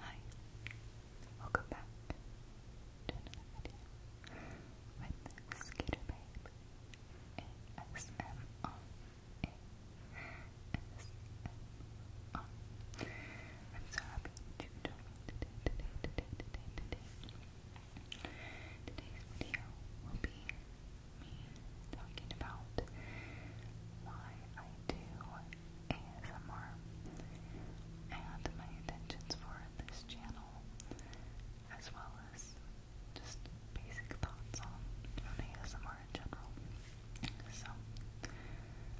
Hi, welcome back to another video with Skater Babe ASMR ASMR am so happy to join me today Today's video will be me talking about why I do ASMR and my intentions for this channel, as well as just basic thoughts on, ASMR in general. So,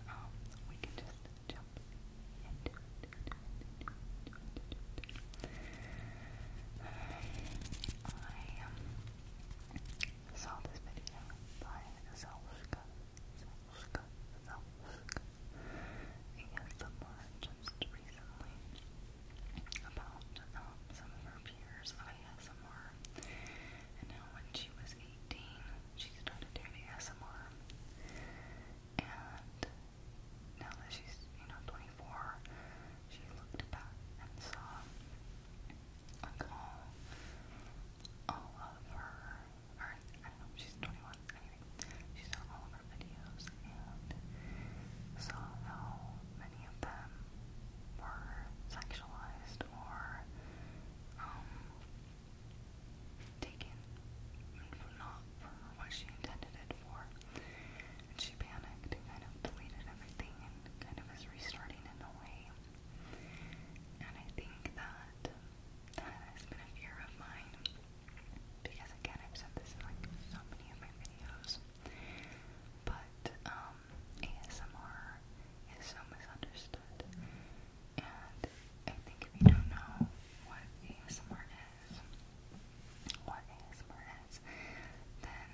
um, we can just jump into it. I um, this video by Zelshka Zelska, Zelska. He just recently about some of her peers of ASMR. And now when she was 18, she started doing ASMR. And now that she's, you know, 24, she looked back and saw like all, all of her or I don't know, she's 21, she saw all of our videos and saw how many of them were sexualized or, um, taken not for what she intended it for. And she panicked and kind of deleted everything and kind of is restarting in a way. And I think that that's been a fear of mine because again I've said this in like so many of my videos but um, ASMR is so misunderstood and I think if you don't know what ASMR is what ASMR is then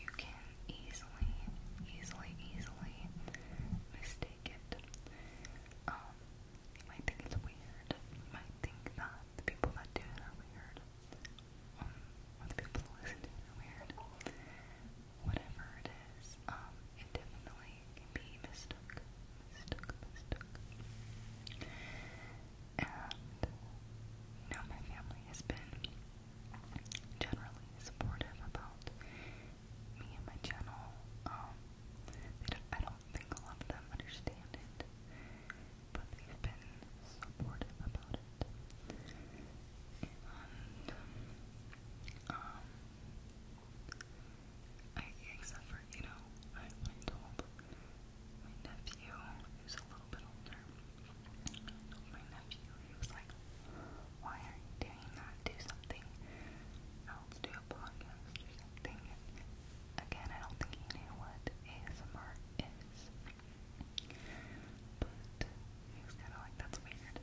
you can easily easily easily take um, you might think it's weird. might think that the people that do it are weird. Um, the people that listen to it are weird. Whatever it is, um, can be mistook. Mistook, mistook. And, you my family has been generally supportive about me and my channel. Um, I don't think a lot of them understand it, but they've been supportive about it. Um, except for you know, I told my nephew who's a little bit older. I told my nephew he was like why are you daring not do something else, do a podcast or something? again, I don't think he knew what ASMR is, but he was kind of like, that's weird,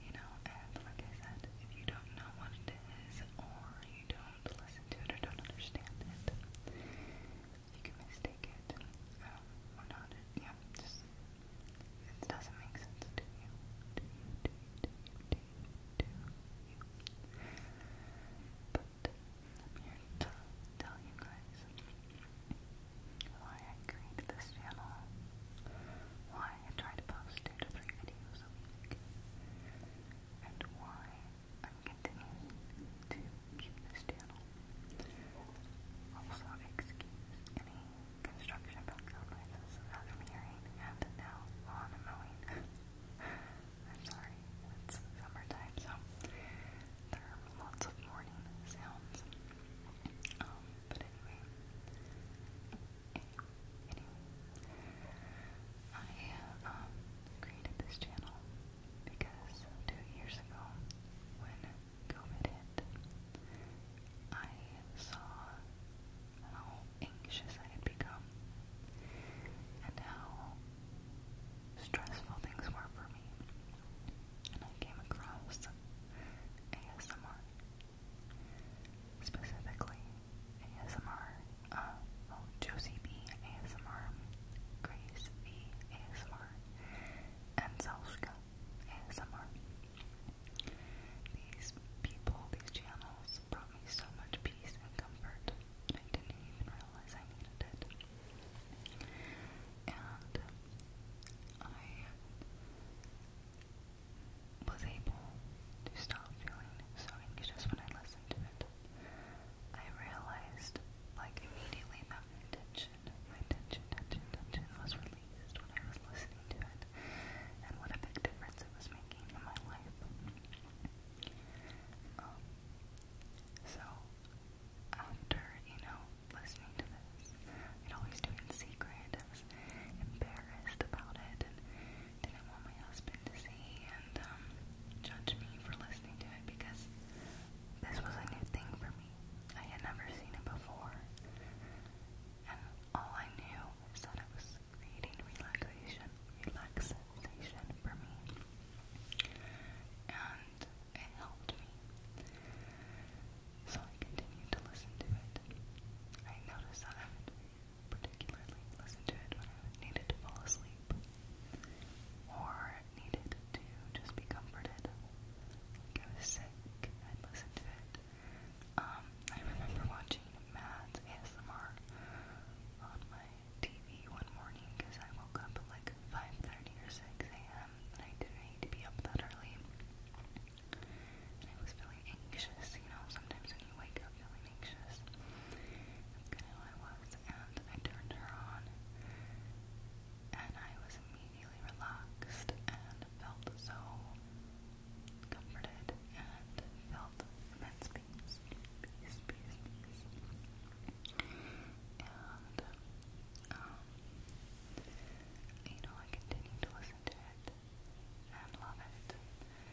you know, and like I said, if you don't know what it is, or you don't listen to it or don't understand it, you can mistake it, um, or not, yeah, just it doesn't make sense to you. But I'm here to tell you guys why I created this channel, why I try to post two to three videos a week, and why I'm continuing to keep this channel. Also, excuse any construction background noises that i hearing, and now lawn mowing. I'm sorry, it's summertime, so there are lots of morning sounds. Um, but anyway, I um, created this channel because two years ago, when COVID hit, I saw how anxious I had become and how stressful things were for me. And I came across ASMR, specifically ASMR, uh, oh, Josie B ASMR, Grace V ASMR, and Zelska ASMR. These people, these channels, brought me so much peace and comfort, I didn't even realize I needed it. And I was able to stop feeling so anxious when I listened to it. I realized, like, immediately that my tension, my tension, tension, tension was released pleased when I was listening to it, and what a big difference it was making in my life. Um, so, after, you know, listening to this, I'd always do it in secret. I was embarrassed about it and didn't want my husband to see and um, judge me for listening to it because this was a new thing for me. I had never seen it before. And all I knew is that it was creating relaxation, relaxation for me. And it helped me. So I continued to listen to it. I noticed that I particularly listen to it when I needed to fall asleep or needed to just be comforted. Like sick, i listen to it. Um, I remember watching Mads ASMR on my TV one morning because I woke up at like 5.30 or 6 a.m. and I didn't need to be up that early. And I was feeling anxious, you know, sometimes when you wake up feeling anxious. That's kind of how I was. And I turned her on and I was immediately relaxed and felt so comforted, and felt immense peace, um, you know, I continued to listen to it and love it.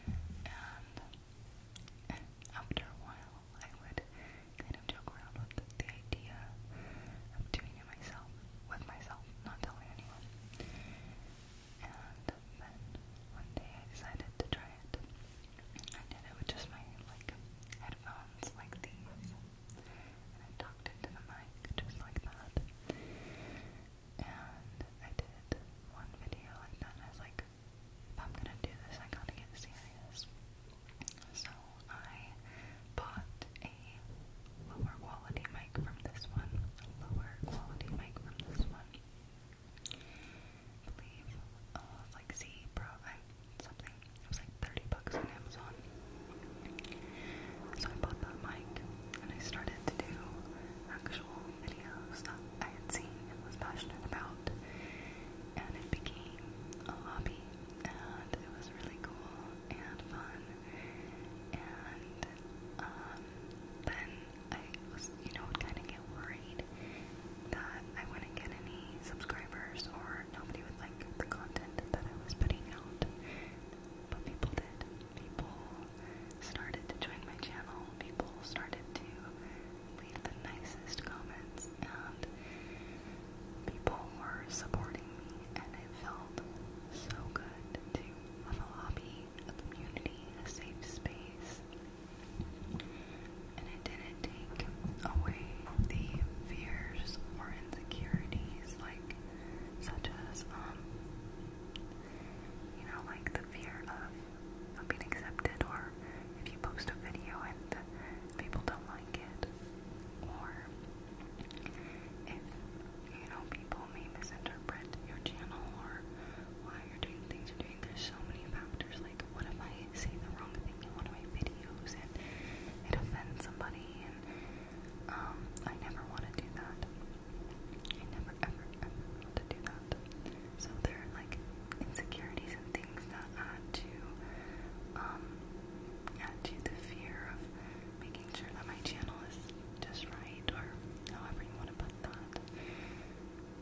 And after a while, I would kind of joke around with the idea of doing it myself, with myself, not telling anyone. And then one day I decided to try it. I did it with just my like headphones like these. And I talked into the mic just like that. And I did one video like that I was like, I'm gonna do this I gotta get serious. So I bought a lower quality mic from this one, lower quality mic from this one. I believe uh, it was like Z Pro, I, something. It was like 30 bucks on Amazon. So I bought that mic and I started to do actual videos that I had seen and was passionate about. And it became a hobby and it was really cool and fun and um, then I you know, would kind of get worried that I wouldn't get any subscribers or nobody would like the content that I was putting out. But people did. People started to join my channel. People started to leave the nicest comments, and people were supporting me, and it felt so good to have a hobby a community, a safe space. And it didn't take away the fears or insecurities, like such as, um, you know, like the fear of not being accepted, or if you post a video and people don't like it, or if you know, people may misinterpret your channel or why you're doing things you're doing. There's so many factors. Like, what if I say the wrong thing in one of my videos and it offends somebody? And um, I never want to do that. I never ever ever want to do that. So there are like insecurities and things that add to um add to the fear of making sure that my channel is just right, or however you want to put that.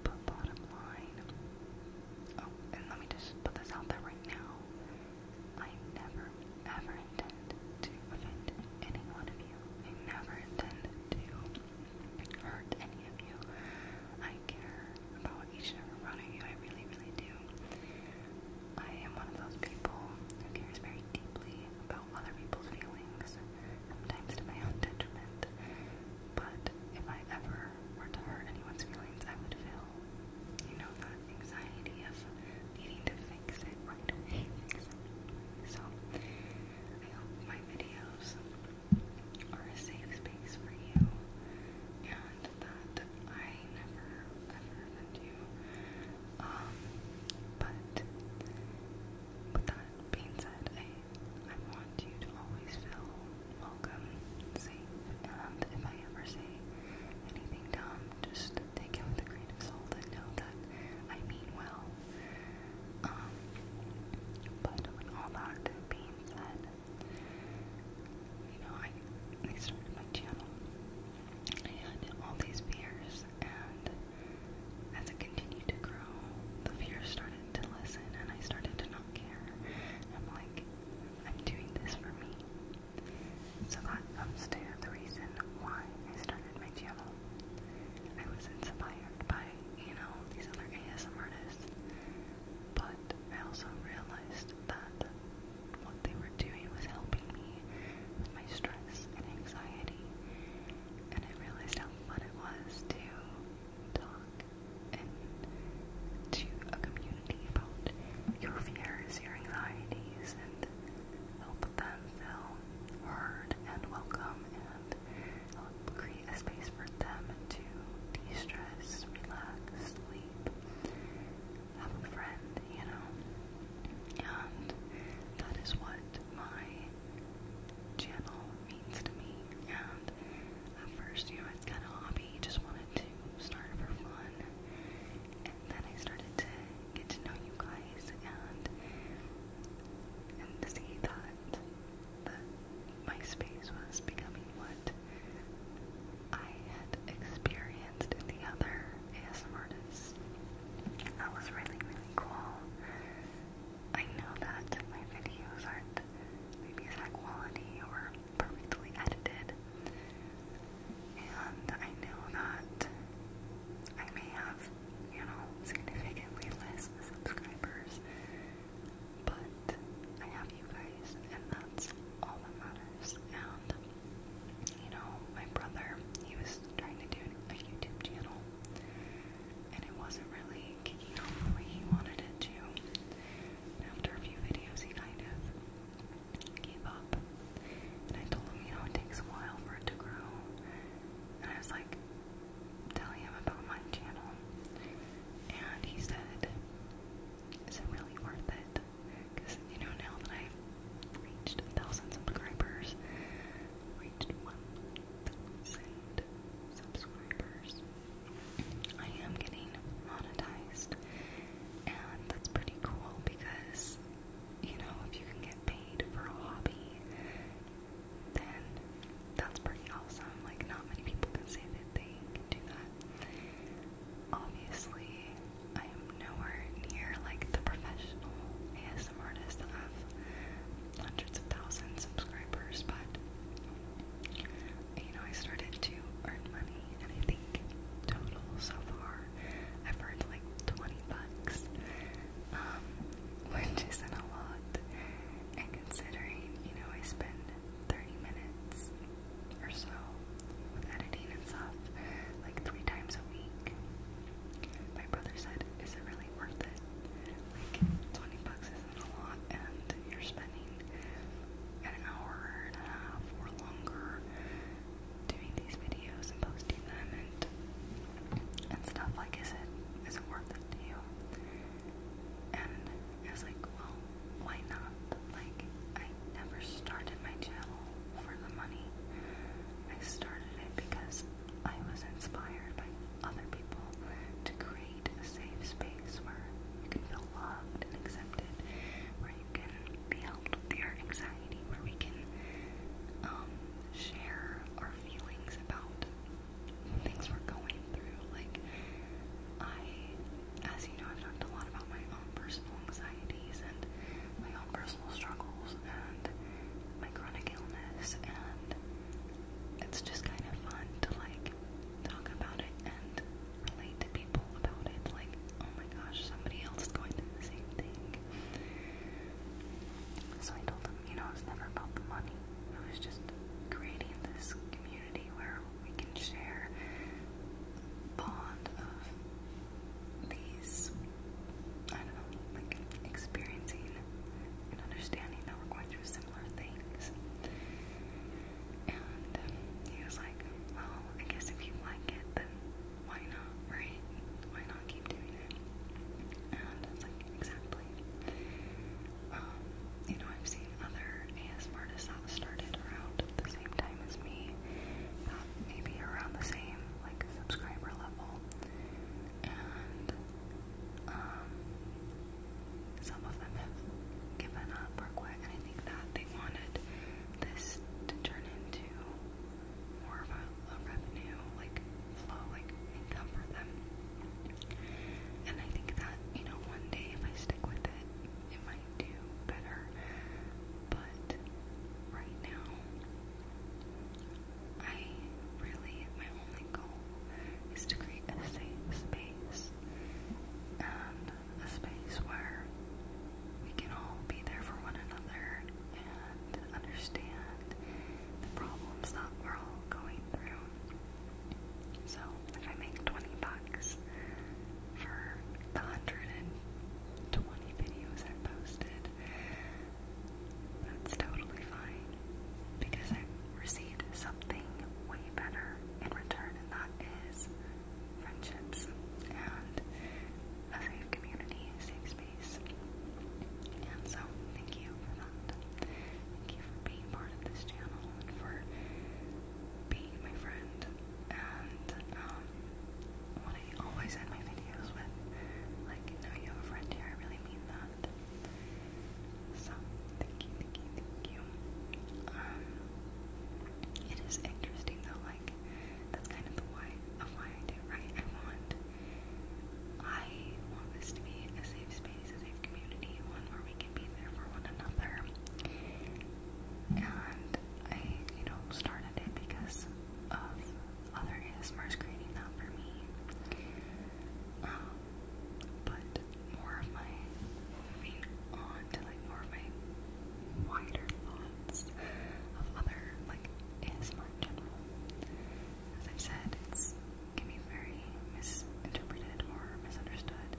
But bottom line, oh, and let me just put this out there right now. I never, ever intend to offend any one of you. I never intend to hurt any of you. I care about each and every one of you. I really, really do. I am one of those people who cares very deeply about other people's feelings sometimes to my own detriment. But if I ever were to hurt anyone's feelings, I would feel, you know, that anxiety of needing to fix it right away. So, I hope my videos are a safe space for you and that I never ever offend you. Um, but but that being said, I, I want you to always feel welcome, safe, and if I ever say anything dumb, just take it with a grain of salt and know that I mean well. Um, but with all that being said, you know, I, started my channel. I all these beers and as it continued to grow, the fear started to lessen and I started to not care. I'm like, I'm doing this for me. So that comes to the reason why I started my channel. I was inspired by, you know, these other ASMR artists, but I also realized that what they were doing was helping me with my stress and anxiety and I realized how fun it was to talk and to a community about your fears, your anxieties, and help them feel heard and welcome and help um, create a space for them to de-stress, relax, sleep, have a friend, you know? And that is what my channel means to me. And at first, you know, it's kind of a hobby. Just wanted to start for fun. And then I started to get to know you guys and and to see that that MySpace was becoming what I had experienced in the other ASMRtists was that was really really cool. I know that my videos aren't maybe high quality or perfectly edited, and I know that I may have you know significantly less subscribers, but I have you guys, and that's all that matters. And you know, my brother, he was trying to do a YouTube channel, and it wasn't really kicking off the way he wanted it to. And after a few videos, he kind of gave up. And I told him, you know, it takes a while for it to grow. And I was like telling him about my channel, and he said, "Is it really worth it?" Because you know, now that I've reached a thousand subscribers, reached 1,000 subscribers. I am getting monetized, and that's pretty cool because, you know, if you can get paid for a hobby, then that's pretty awesome. Like, not many people can say that they can do that. Obviously, I am nowhere near like the professional some artists have hundreds of thousands subscribers, but you know, I started to earn money, and I think total so far I've earned like 20 bucks, um, which isn't a lot. And considering, you know, I spend 30 minutes or so with editing and stuff like three times a week, my brother said, Is it really? worth it. Like, 20 bucks isn't a lot, and you're spending an hour and a half or longer doing these videos and posting them and and stuff. Like, is it is it worth it to you? And I like, well, why not? Like, I never started my channel for the money. I started it because I was inspired by other people to create a safe space where you can feel loved and accepted, where you can be helped with your anxiety, where we can um, share our feelings about things we're going through. Like, I, as you know, I've talked a lot about my own personal anxieties and my own personal struggles and my chronic illness, and it's just kind of fun to like talk about it and relate to people about it. Like, oh my gosh, somebody else is going through the same thing. So I told them, you know, it's never about the money. It was just creating this community where we can share bond of these I don't know, like experiencing and understanding that we're going through similar things. And um, he was like, well, I guess if you like it, then why not, right? Why not keep doing it? And I like, exactly. Um, you know, I've seen other ASM artists that started around the same time as me, maybe around the same, like, subscriber level, and um, some of them have given up or quit, and I think that they wanted this to turn into more of a revenue like flow, like income for them. And I think that you know, one day if I stick with it, it might do better. But right now, I really, my only goal is to create a safe space a space where we can all be there for one another and understand the problems that we're all going through. So, if I make 20 bucks for the 120 videos i posted, that's totally fine. Because i received something way better in return, and that is friendships and a safe community, a safe space. And so, thank you for that. Thank you for being part of this channel and for being my friend. And um, I always end my videos with, like, know you have a friend here, I really mean mean that. So, thank you, thank you, thank you. Um, it is interesting though, like, that's kind of the why of why I do it, right? I want, I want this to be a safe space, a safe community, one where we can be there for one another. And I, you know, started it because of other ASMRs creating that for me. Um, but more of my moving on to like more of my wider thoughts of other like ASMR in general. As I've said, it's can be very misinterpreted or misunderstood.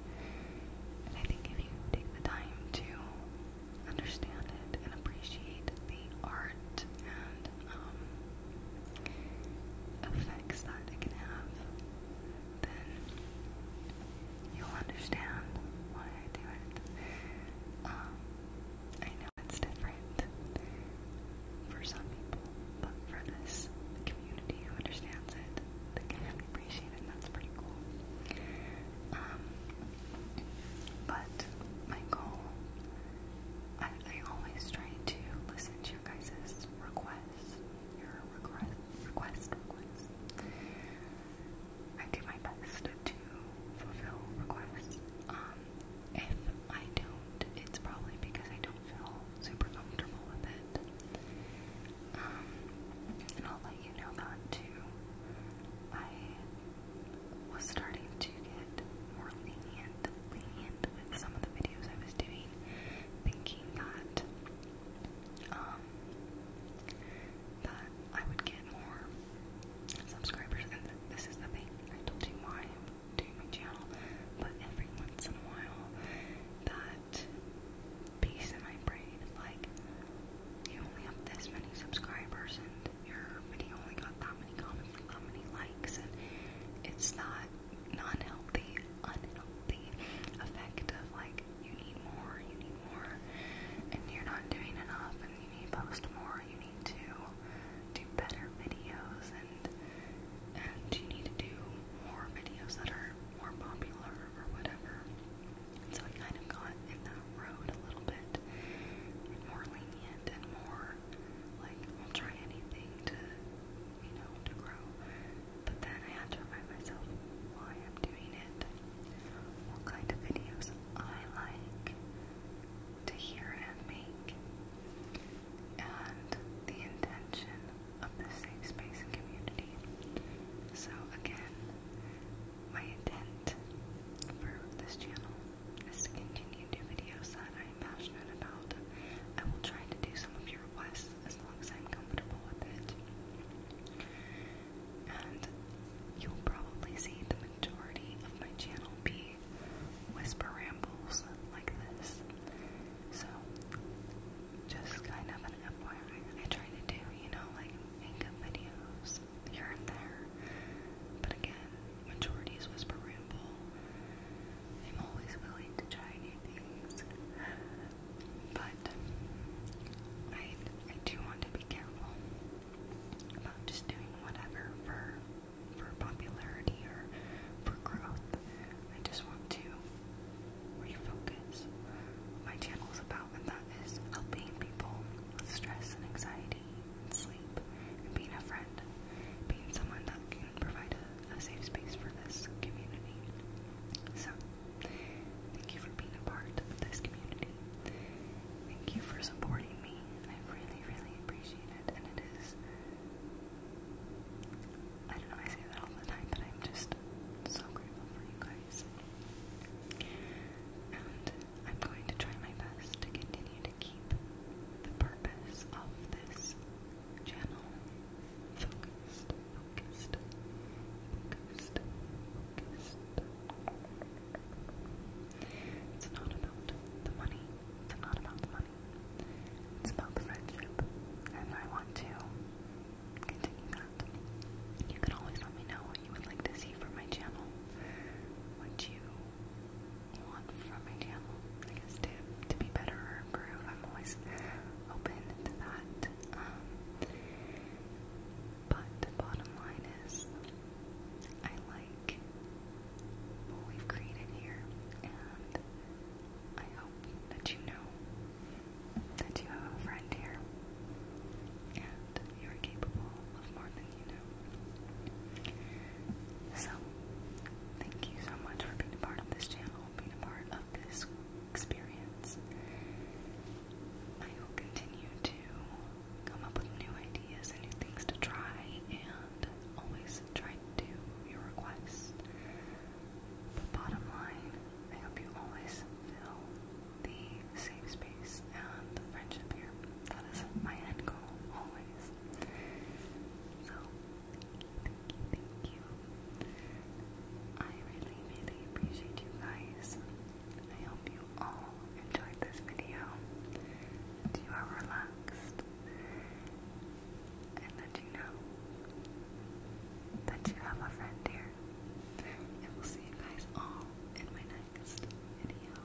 And I think if you take the time to understand it and appreciate the art hurt and um, effects that it can have, then you'll understand why I do it. Um, I know it's different for some people, but for this community who understands it, they can appreciate it, that's pretty cool. Um, but my goal, I I always try to listen to your guys' requests. Your request, request, requests. I do my best to fulfill requests. Um, if I don't, it's probably because I don't feel super comfortable with it. Um, and I'll let you know that too. I was starting to get more lenient, lenient with some of the videos I was doing, thinking that um that I would get more subscribers. And this is the thing I told you why I'm my channel, but every once in a while, that piece in my brain, like you only have this many subscribers and your video only got that many comments, like that many likes, and it's not an unhealthy, unhealthy effect of like you need more, you need more, and you're not doing enough, and you need to post more, you need to do better videos, and and you need to do more videos that are more popular or whatever. And so I kind of got in that road a little bit, and more lenient and more like, I'll try anything to, you know, to grow. But then I had to remind myself why I'm doing it, what kind of videos I like to hear and make, and the intention of this safe space and community. So, again, my intent for this channel is to continue new videos that I am passionate about. I will try to do some of your requests as long as I'm comfortable with it. And you'll probably see the majority of my channel be whisper rambles like this. So, just kind of an FYI. I try to do, you know, like makeup videos here and there. But again, majority is whisper rambles. I'm always willing to try new things, but I, I do want to be careful about just doing whatever for for popularity or for growth. I just want to refocus. My channel is about, and that is helping people with stress and anxiety routine, sleep, and being a friend. Being someone that can provide a, a safe space for this community. So, thank you for being a part of this community. Thank you for supporting me. I really, really appreciate it. And it is. I don't know, I say that all the time, but I'm just so grateful for you guys. And I'm going to try my best to continue to keep the purpose purpose of this channel. Focused, focused, focused, focused. It's not about the money. It's not about the money. It's about the friendship. And I want to continue that. You can always let me know what you would like to see from my channel. What you want from my channel, I to, to be better improve. I'm always open to that. Um, but the bottom line is, I like what we've created here, and I hope that you know that you have a friend here, and you're capable of more than so, thank you so much for being a part of this channel, being a part of this experience. I will continue to come up with new ideas and new things to try, and always try to do your requests. But bottom line, I hope you always feel the safe space and the friendship here. That is my end goal, always. So, thank you, thank you. I really, really appreciate you guys. I hope you all enjoyed this video. That you are relaxed. And that you know that you have a friend here. And we'll see you guys all in my next video.